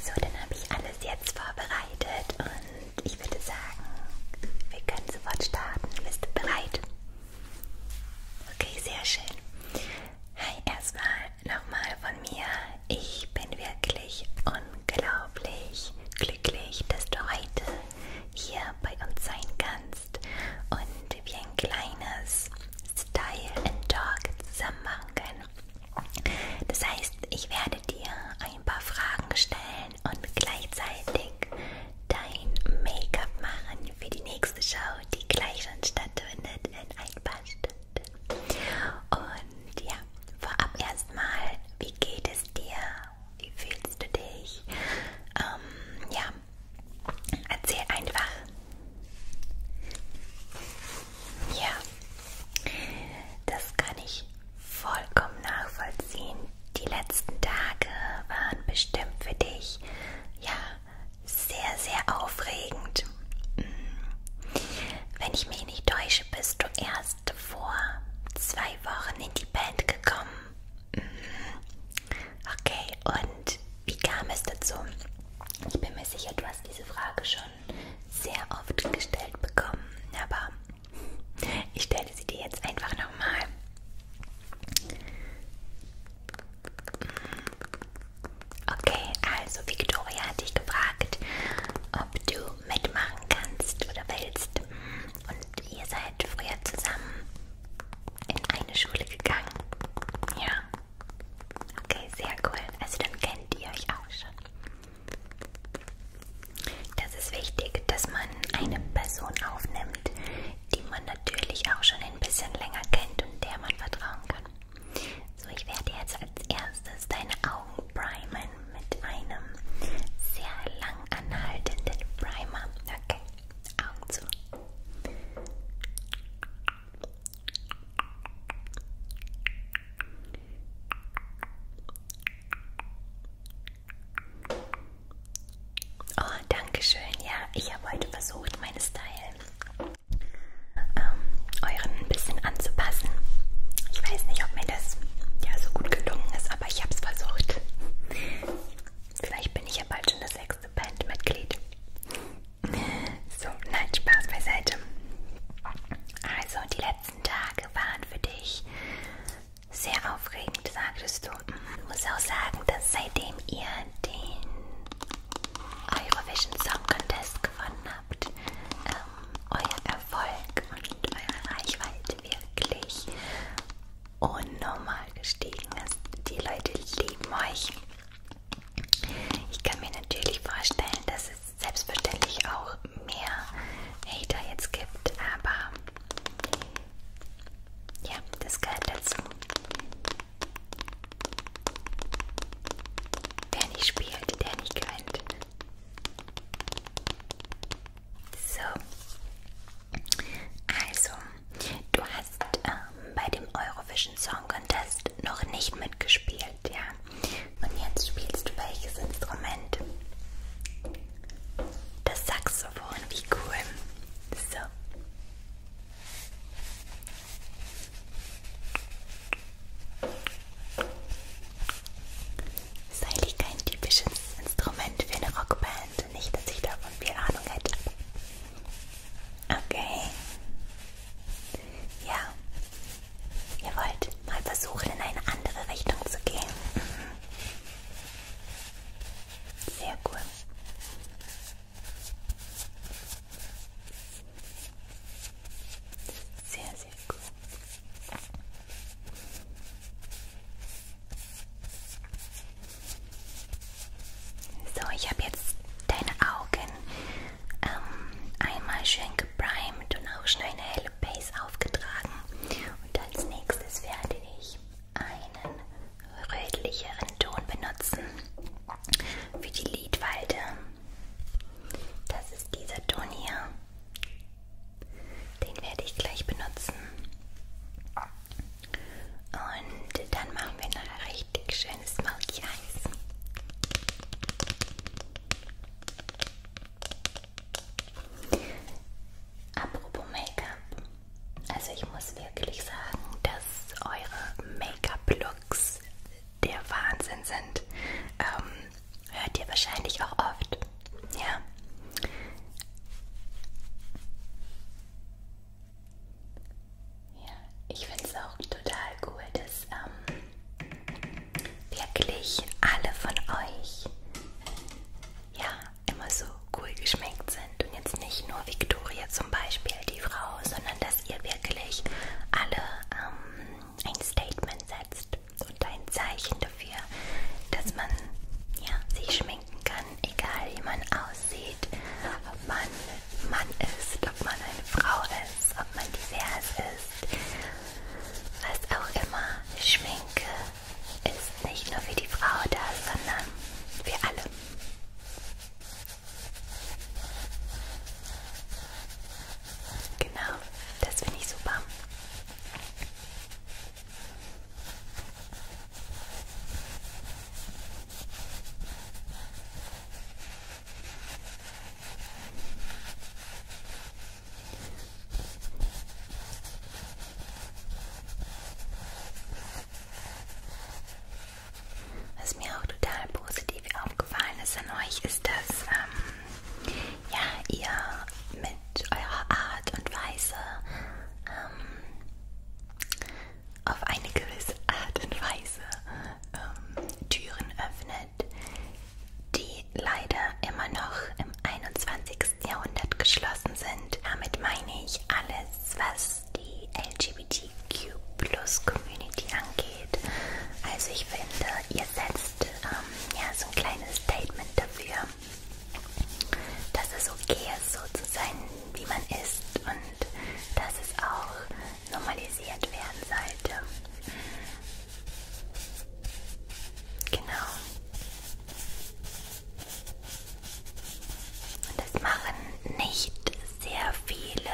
So, dann habe ich alles jetzt vorbereitet und ich würde sagen, wir können sofort starten. Bist du bereit? Okay, sehr schön. Hi, erstmal nochmal von mir. Ich bin wirklich unglaublich glücklich, dass du heute hier bei uns sein kannst und wir ein kleines Style and Talk zusammen machen können. Das heißt, ich werde dir ein paar Fragen stellen und gleichzeitig dein Make-up machen für die nächste Show, die gleich schon stattfindet in ein paar Stunden. Und ja, vorab erstmal, wie geht es dir? Wie fühlst du dich? Ähm, ja, erzähl einfach, ja, das kann ich vollkommen nachvollziehen. Die letzten Tage waren bestimmt für dich ja sehr, sehr aufregend. Mm. Wenn ich mich nicht täusche, bist du erst vor zwei Wochen in die Band gekommen. Mm. Okay, und wie kam es dazu? Ich bin mir sicher, du hast diese Frage schon schon sehr oft gestellt bekommen, aber ich stelle sie dir jetzt einfach nochmal. Okay, also Victoria hat dich gefragt, ob du mitmachen kannst oder willst. Und ihr seid früher zusammen in eine Schule gegangen. Ja. Okay, sehr cool. Also dann kennt ihr euch auch schon. Das ist wichtig, dass man eine Person aufnimmt, die man natürlich auch schon ein bisschen länger kennt und der man vertrauen kann. So, ich werde jetzt als erstes deine Augen primen mit einem sehr lang anhaltenden Primer. Okay, Augen zu. Oh, danke schön. Ja, ich habe heute versucht, meine Style ähm, euren ein bisschen anzupassen. Ich weiß nicht, ob mir das ja so gut gelungen ist, aber ich habe es versucht. Vielleicht bin ich ja bald schon das sechste Bandmitglied. So, nein, Spaß beiseite. Also, die letzten Tage waren für dich sehr aufregend, sagtest du. Ich muss auch sagen, dass seitdem ihr den Eurovision Song Contest gewonnen habt, ähm, euer Erfolg und eure Reichweite wirklich unnormal gestiegen ist. Die Leute lieben euch ich kann mir natürlich vorstellen, dass es selbstverständlich auch mehr Hater jetzt gibt, aber ja, das gehört dazu. Wer nicht spielt, der nicht gewinnt. So, also, du hast ähm, bei dem Eurovision Song Contest noch nicht mitgespielt, ja. Und jetzt spielst du welches Instrument? Das Saxophon, wie cool. So. Das ist eigentlich kein typisches Instrument für eine Rockband. Nicht, dass ich davon viel Ahnung hätte. Okay. Ja. Ihr wollt mal versuchen, in eine andere Richtung zu gehen. Mhm. Sehr gut. Sehr, sehr gut. So, ich habe jetzt deine Augen ähm, einmal schön geprimed und auch schnell eine helle Base aufgetragen. Und als nächstes werde ich einen rötlicheren Ton benutzen für die Lidfalte. Das ist dieser Ton hier. Den werde ich gleich benutzen. Und dann machen wir noch ein richtig schönes Smoky nice. Apropos Make-up. Also ich muss wirklich sagen, dass eure Make-up-Looks der Wahnsinn sind. Ähm, hört ihr wahrscheinlich auch oft. Ja. Ja, ich finde es auch total cool, dass ähm, wirklich alle von euch ja immer so cool geschmeckt sind. Und jetzt nicht nur Victoria zum Beispiel, die Frau, sondern dass ihr wirklich alle ähm, ein Statement setzt und ein Zeichen dafür, dass man ja, sich schminken kann, egal wie man aussieht, ob man Mann ist, ob man eine Frau ist, ob man divers ist, was auch immer. Schminke ist nicht nur für die Frau da, sondern für alle. Genau, das finde ich super. Was mir auch total positiv aufgefallen ist an euch, ist, dass ähm, ja, ihr mit eurer Art und Weise ähm, auf eine gewisse Art und Weise ähm, Türen öffnet, die leider immer noch im 21. Jahrhundert geschlossen sind. Damit meine ich alles, was die LGBTQ-Plus-Community angeht. Also ich finde, ihr setzt ähm, ja, so ein kleines Statement dafür, dass es okay ist, so zu sein, wie man isst und dass es auch normalisiert werden sollte. Genau. Und das machen nicht sehr viele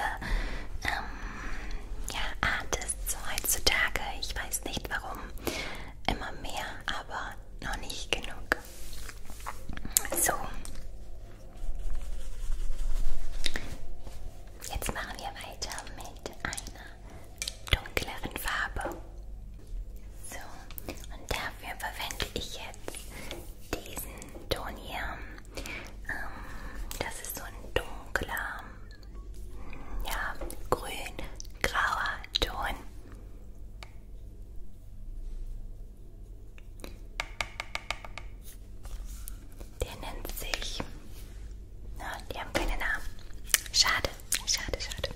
ähm, ja, Artists heutzutage. Ich weiß nicht warum. Immer mehr, aber noch nicht genug. So, Jetzt machen wir weiter mit einer dunkleren Farbe. So, und dafür verwende ich jetzt diesen Ton hier. Ähm, das ist so ein dunkler, hm, ja, grün-grauer Ton. Der nennt sich. Na, die haben keine Namen. Schade, schade, schade.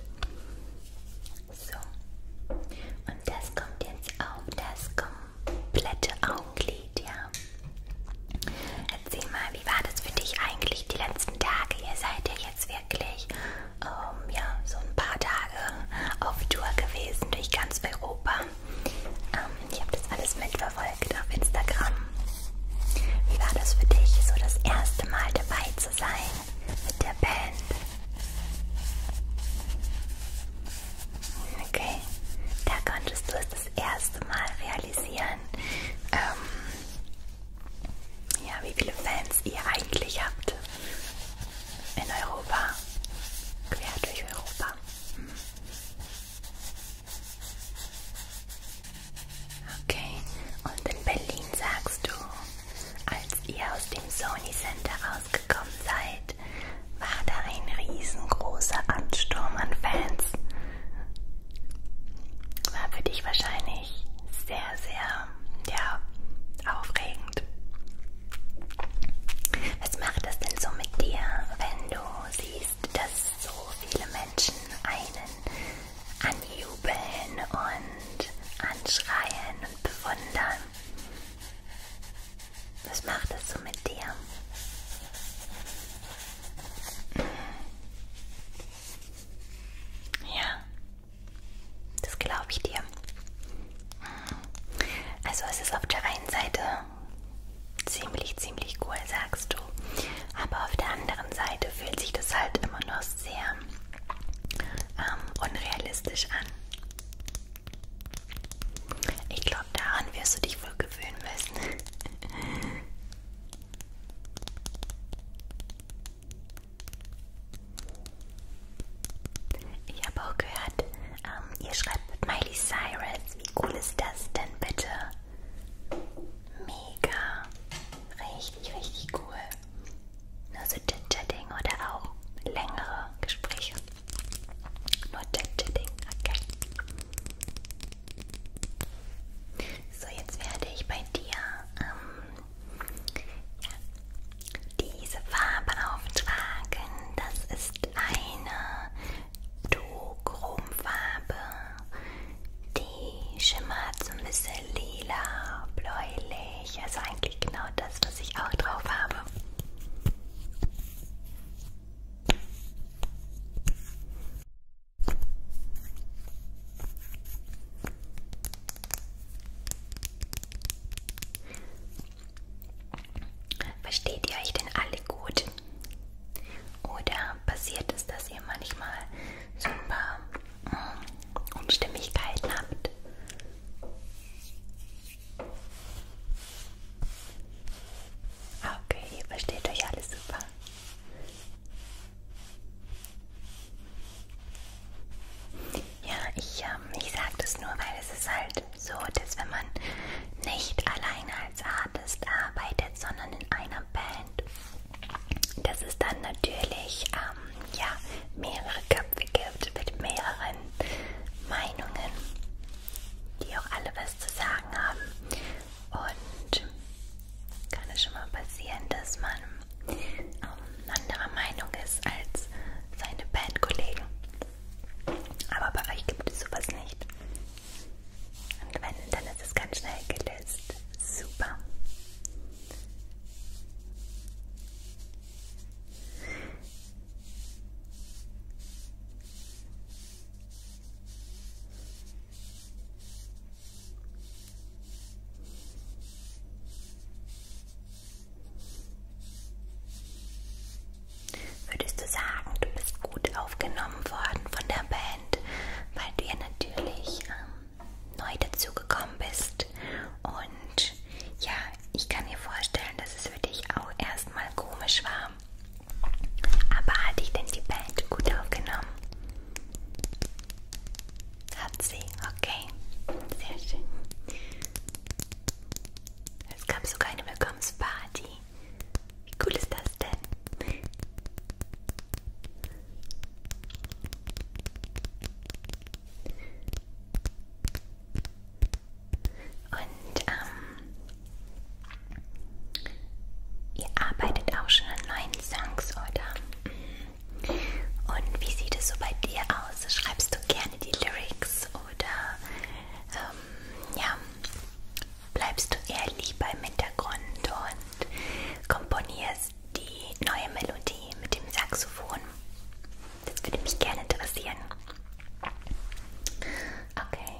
So. Und das kommt jetzt auf das komplette Augenlid, ja. Erzähl mal, wie war das für dich eigentlich die letzten Tage? Ihr seid ja jetzt wirklich, ähm, ja, so ein paar Tage auf Tour gewesen durch ganz Europa. Ähm, ich habe das alles mitverfolgt auf Instagram. Wie war das für dich, so das erste Mal dabei zu sein mit der Band? Okay, da konntest du es das erste Mal realisieren. Ähm, ja, wie viele Fans ihr eigentlich habt in Europa, quer durch Europa. Hm. Okay, und in Berlin sagst du, als ihr aus dem Sony Center rausgekommen seid, war da ein riesengroßer Ansturm an Fans. War für dich wahrscheinlich sehr, sehr ja, aufregend. Was macht das denn so mit dir, wenn du siehst, dass so viele Menschen einen anjubeln und anschreien und bewundern? Was macht das so mit dir? Ja, das glaube ich dir. Also es ist auf der einen Seite ziemlich, ziemlich cool, sagst du. Aber auf der anderen Seite fühlt sich das halt immer noch sehr ähm, unrealistisch an. Ich glaube, daran wirst du dich wohl gewöhnen müssen. Ich habe auch gehört, ähm, ihr schreibt mit Miley Cyrus. Wie cool ist das denn bitte? Mega. Richtig, richtig cool. Nur so Chit-Chatting oder auch längere Gespräche. Nur Chit-Chatting, okay. So, jetzt werde ich bei dir ähm, ja. Diese Farbe auftragen, das ist eine Duochromfarbe. Die schimmert so ein bisschen lila, bläulich. Also eigentlich genau das, was ich auch drauf habe. Versteht ihr euch denn alle gut? Oder passiert es, dass ihr manchmal so ein paar mm, Unstimmigkeiten habt? Okay, ihr versteht euch alles super. Ja, ich, ähm, ich sage das nur, weil es ist halt so, dass wenn man nicht alleine als Artist arbeitet, sondern in einer Band, dass es dann natürlich ähm, ja, mehrere Köpfe gibt mit mehreren Meinungen, die auch alle was zu sagen haben. Und kann es schon mal passieren, dass man ähm, anderer Meinung ist als seine Bandkollegen. Aber bei euch gibt es sowas nicht. Und wenn, dann ist es ganz schnell gelöst. Super. Würdest du sagen, du bist gut aufgenommen worden von der Band, weil du ja natürlich ähm, neu dazugekommen bist? Und ja, ich kann mir vorstellen, dass es für dich auch erstmal komisch war. Aber hat dich denn die Band gut aufgenommen? Hat sie, okay. Sehr schön. Es gab sogar eine Willkommensparty. Wie cool ist das denn? Und ähm, ihr arbeitet auch schon an neuen Songs, oder? Und wie sieht es so bei dir aus? Schreibst du gerne die Lyrics oder ähm, ja, bleibst du eher lieber im Hintergrund und komponierst die neue Melodie mit dem Saxophon? Das würde mich gerne interessieren. Okay.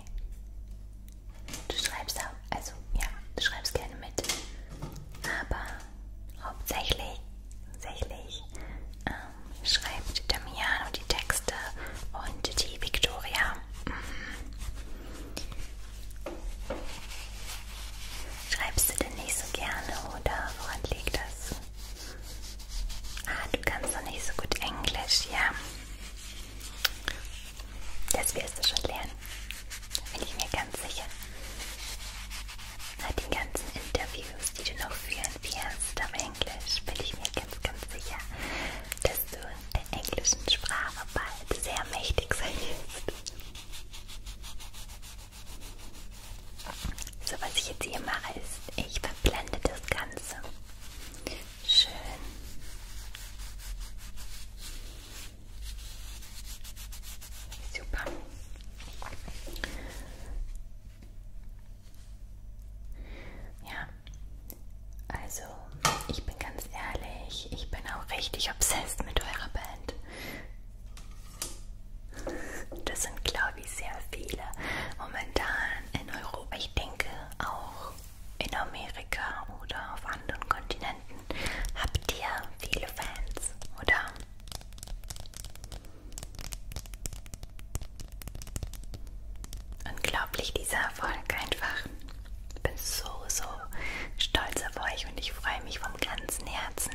Du schreibst also ja, du schreibst gerne mit. Aber hauptsächlich, hauptsächlich ähm, schreibt Damiano die Texte und die Victoria mhm. Schreibst du denn nicht so gerne oder woran liegt das? Ah, du kannst doch nicht so gut Englisch, ja. Das wirst du schon lernen. Bin ich mir ganz sicher. Bei den ganzen Interviews, die du noch führen wirst auf Englisch, bin ich mir ganz, ganz sicher, dass du in der englischen Sprache bald sehr mächtig sein wirst. So, was ich jetzt hier mache, ist, ich verblende das Ganze. Schön. Super. Ja, also ich bin ganz ehrlich, ich bin auch richtig obsessed mit eurer Band. Das sind, glaube ich, sehr viele momentan in Europa. Ich denke auch in Amerika oder auf anderen Kontinenten habt ihr viele Fans, oder? Unglaublich dieser Erfolg einfach. Ich bin so, so stolz auf euch und ich freue mich vom ganzen Herzen,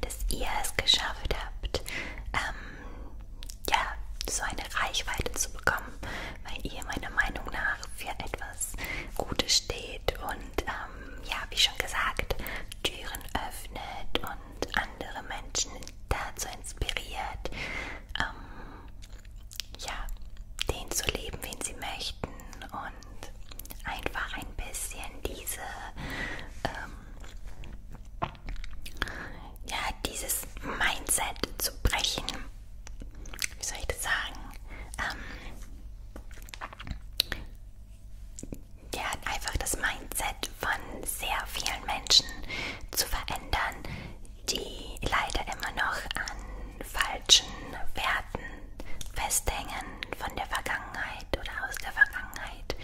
dass ihr es geschafft habt, ähm, ja, so eine Reichweite zu bekommen, weil ihr meiner Meinung nach für etwas Gutes steht und ähm, ja, wie schon gesagt, Türen öffnet und andere Menschen dazu inspiriert, ähm, ja, den zu leben, wen sie möchten und einfach ein bisschen diese, ähm, ja, dieses Mindset zu brechen. Wie soll ich das sagen? Ähm, ja, einfach das Mindset von sehr vielen Menschen zu verändern, die leider immer noch an falschen Werten festhängen von der Vergangenheit oder aus der Vergangenheit.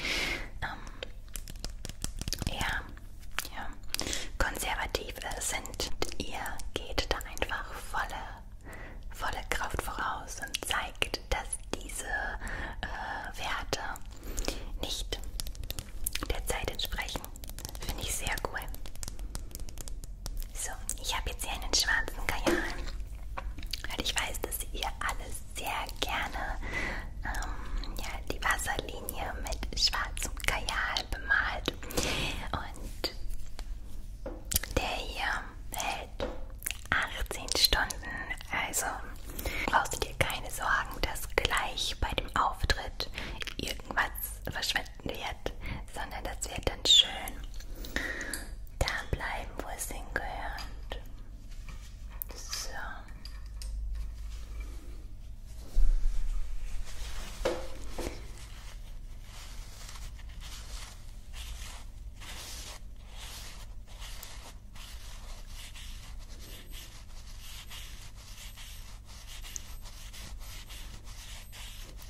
Ähm, ja, ja, konservativ sind. Und ihr geht da einfach volle volle Kraft voraus und zeigt, dass diese äh, Werte nicht der Zeit entsprechen. Finde ich sehr cool. So, ich habe jetzt hier einen schwarzen Kajal. Weil ich weiß, dass ihr alle sehr gerne ähm, ja, die Wasserlinie mit schwarzem Kajal bemalt. Und der hier hält 18 Stunden, also brauchst du dir keine Sorgen, dass gleich bei dem Auftritt irgendwas verschwinden wird, sondern das wird dann schön da bleiben, wo es hingehört. So.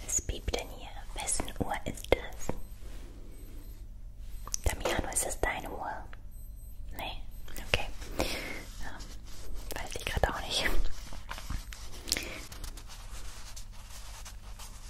Es piept denn hier. Wessen Uhr ist das? Damiano, ist das deine Uhr? Nee, okay. Ähm, weiß ich gerade auch nicht.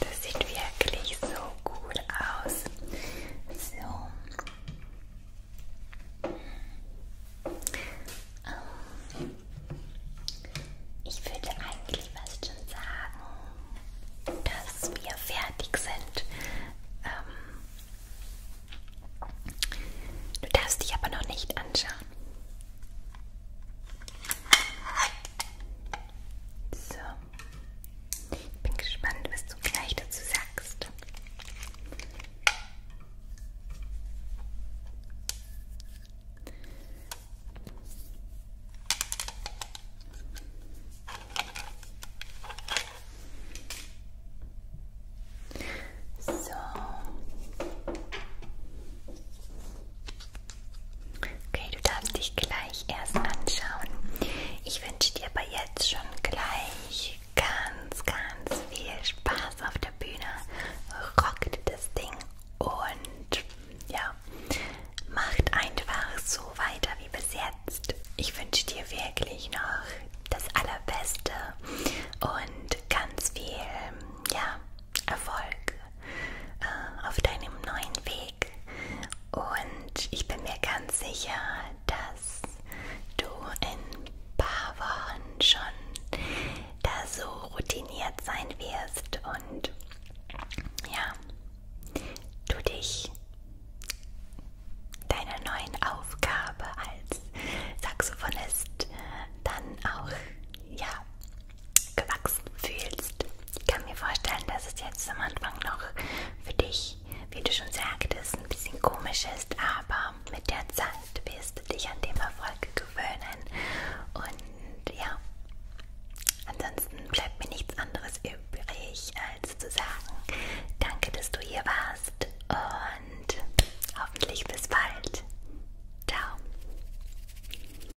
Das sieht wirklich so gut aus. So. Um, ähm, ich würde eigentlich fast schon sagen, dass wir fertig sind. Um, ähm, du darfst dich aber noch nicht anschauen. So. Ich bin gespannt, was du gleich dazu sagst. So. Okay, du darfst dich gleich erst anschauen. Ich wünsche dir aber jetzt schon gleich ganz, ganz viel Spaß auf der Bühne. Rockt das Ding und ja, macht einfach so weiter wie bis jetzt. Ich wünsche dir wirklich noch das Allerbeste und ganz viel, ja, Erfolg äh, auf deinem neuen Weg und ich bin mir ganz sicher, dass du in ein paar Wochen schon da so routiniert sein wirst und ja, du dich deiner neuen Aufgabe als Saxophonist dann auch ja gewachsen fühlst. Ich kann mir vorstellen, dass es jetzt am Anfang noch für dich, wie du schon sagtest, ein bisschen komisch ist, aber mit der Zeit wirst du dich an dem Erfolg gewöhnen. Und ja, ansonsten bleibt mir nichts anderes übrig, als zu sagen, danke, dass du hier warst und hoffentlich bis bald. Ciao.